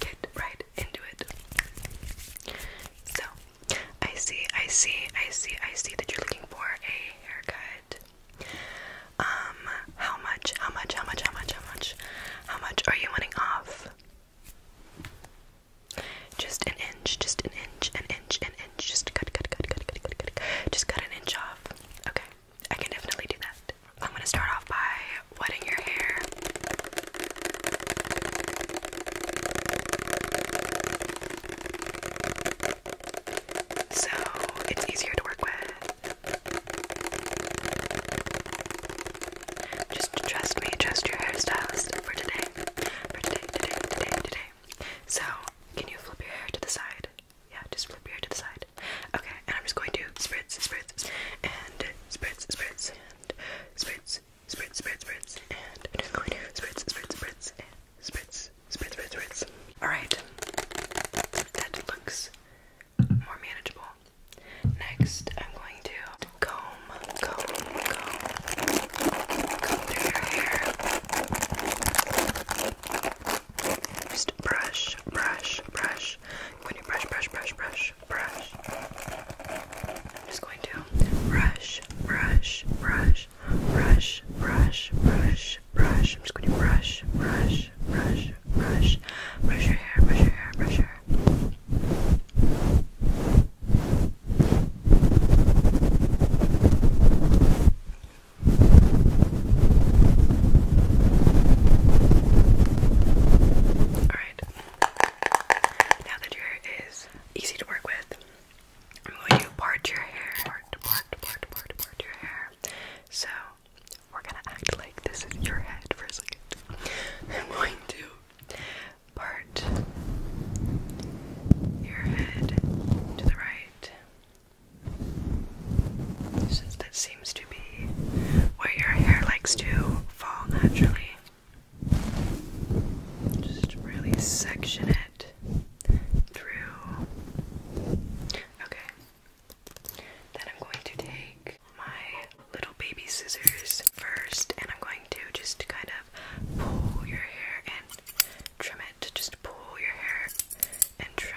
get right into it. So, I see, I see, I see, I see that you're looking for a haircut. Um, how much, how much, how much, how much, how much, how much are you wanting off? Just an inch, just an inch, an inch, an inch, just cut, cut, cut, cut, cut, cut, just cut an inch off. Okay, I can definitely do that. I'm gonna start off by wetting your hair. So it's easier to work with. Just trust me, trust your hairstylist for today. For today, today, today, today. So, can you flip your hair to the side? Yeah, just flip your hair to the side. Okay, and I'm just going to spritz, spritz, and spritz, spritz and spritz, spritz, spritz, spritz, and I'm just going to spritz, spritz, spritz, and spritz, spritz, spritz, spritz. Alright, that looks more manageable. Next, I'm going to comb, comb, comb, comb through your hair. Just brush, brush, brush. When you brush, brush, brush, brush brush, brush. I'm just going to brush, brush, brush, brush, brush, brush, brush. I'm just going to brush, brush, brush, brush, brush your hair, brush your hair, brush your hair. Brush, Alright. Now that your hair is easy to work with, I'm going to part your hair. Part, part, part, part, part your hair. So, we're gonna act like this is your head for a second. I'm going to part your head to the right. Since that seems to be, where your hair likes to fall naturally. Just really section it through. Okay. Then I'm going to take my little baby scissors first and I'm going to just kind of pull your hair and trim it. Just pull your hair and trim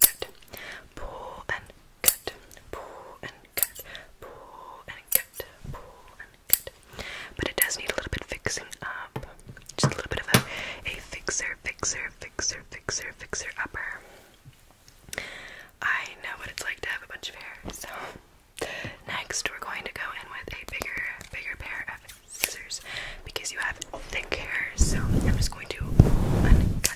cut, pull and cut, pull and cut, pull and cut, pull and cut. But it does need a little bit fixing up. Just a little bit of a, a fixer, fixer, fixer, fixer, fixer upper. I know what it's like to have a bunch of hair, so next we're going to go in with a bigger, bigger pair of scissors because you have thick hair, so I'm just going to pull and cut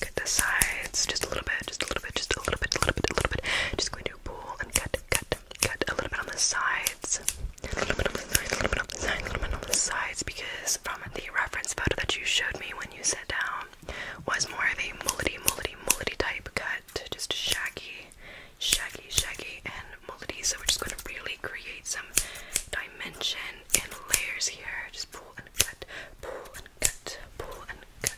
Cut the sides just a little bit, just a little bit, just a little bit, a little bit, a little bit. Just going to pull and cut, cut, cut a little bit on the sides. A little bit on the sides, a little bit on the sides, a little bit on the sides because from the reference photo that you showed me when you sat down was more of a mullety, mullety, mullety type cut. Just shaggy, shaggy, shaggy, and mullety. So we're just going to really create some dimension and layers here. Just pull and cut, pull and cut, pull and cut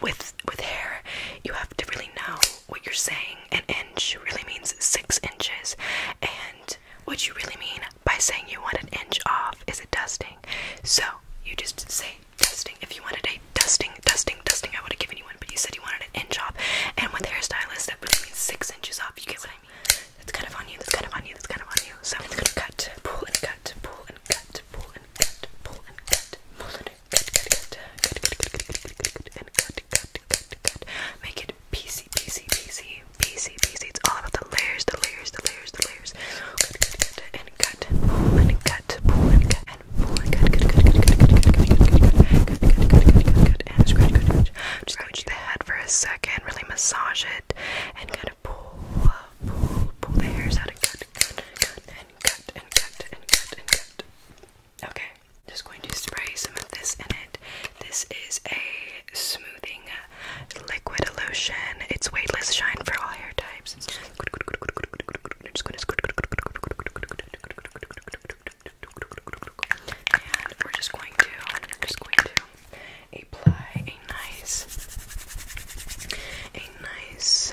with with hair, you have to really know what you're saying. An inch really means six inches, and what you really mean by saying you want an inch off is a dusting. So you just say dusting. If you wanted a dusting, dusting, dusting, I would have given you one, but you said you wanted an inch off, and with hairstylists, that really means six inches off. You get what I mean? That's kind of on you. That's kind of on you. That's kind of on you. So it's gonna cut, pull and cut, pull and cut, pull and cut, pull and cut, pull and cut cut, cut, cut, cut, cut, cut, cut, cut, cut, and cut, cut, cut, cut. Make it PC, PC, PC, PC, PC. It's all about the layers, the layers, the layers, the layers. Cut, cut, cut, and cut, pull and cut, pull and cut, and pull and cut, cut, cut, cut, cut, cut, cut, cut, cut, cut, cut, cut, cut, and scratch, scratch, scratch. Just scratch the head for a second, really massage it, and kind of pull, pull, pull the hairs out and cut cut, cut, cut, and cut, and cut, and cut, and cut. Okay, just going to spray some of this in it. This is a smoothing liquid lotion. It's weightless shine for all hair types. It's just and we're just going to, I'm just going to apply a nice, a nice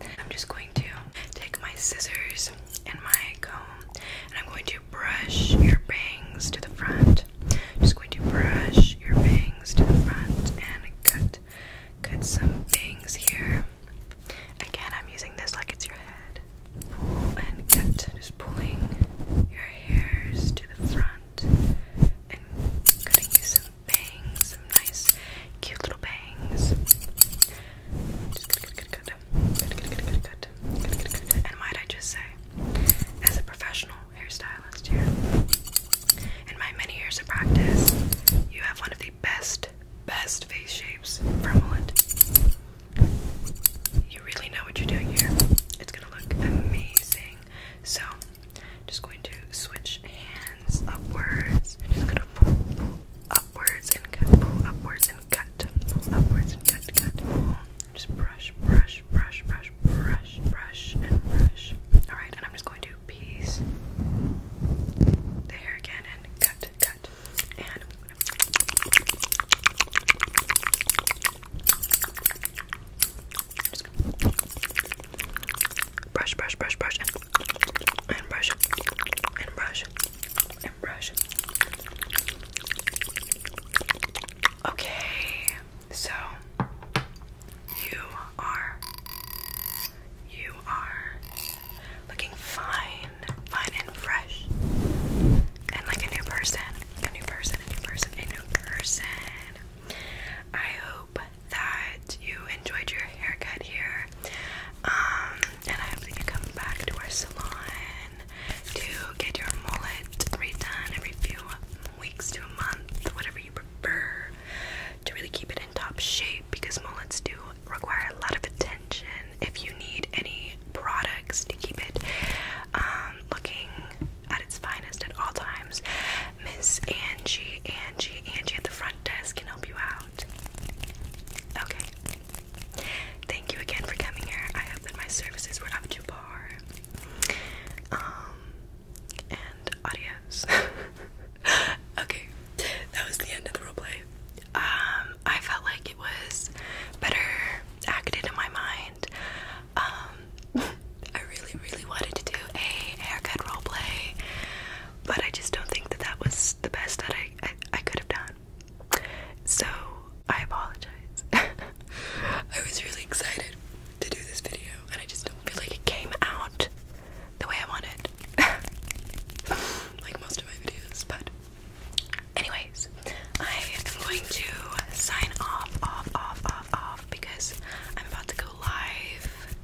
I'm just going to take my scissors and my comb and I'm going to brush your bangs to the front. I'm just going to brush your bangs to the front and cut cut some bangs here. Again, I'm using this like it's your head. Pull and cut. Just pulling your hairs to the front and cutting some bangs, some nice cute little bangs. And might I just say, as a professional hairstylist here, in my many years of practice, you have one of the best, best face shapes for You really know what you're doing here. It's gonna look amazing. So, just going to switch hands upwards just gonna pull, upwards and cut, pull upwards and cut, pull upwards and cut, cut, pull. Just brush, brush, brush, brush, brush, brush, and brush. Alright, and I'm just going to piece the hair again and cut, cut. And brush, brush, brush, brush, and, and brush, and brush, and brush. Okay, so you are you are looking fine, fine and fresh, and like a new person, a new person, a new person, a new person. I hope that you enjoyed your haircut here. Um, and I hope you come back to our salon to get your mullet redone every few weeks to a month, whatever you prefer, to really keep it in top shape because mullets do require a lot of attention if you need any products to keep it um, looking at its finest at all times. Miss Angie, Angie, Angie at the front desk can help you out. Okay. Thank you again for coming here. I hope that my services were up to par. Um, and adios. okay, that was the end of the roleplay. Um, I felt like it was better acted in my mind. Um, I really, really wanted to do a haircut role play but I just don't think that that was the best that I, I, could have done. So I apologize. I was really excited to do this video, and I just don't feel like it came out the way I wanted, like most of my videos. But, anyways, I am going to sign off, off, off, off, off because I'm about to go live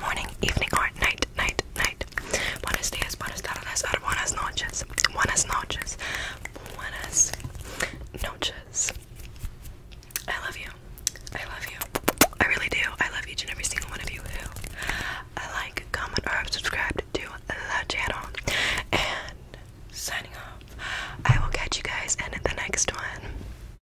Morning, evening, or night, night, night. Buenos días, buenas tardes, buenas noches. Buenas noches. Buenas noches. I love you. I love you. I really do. I love each and every single one of you who I uh, like, comment, or have subscribed to the channel. And signing off. I will catch you guys in the next one.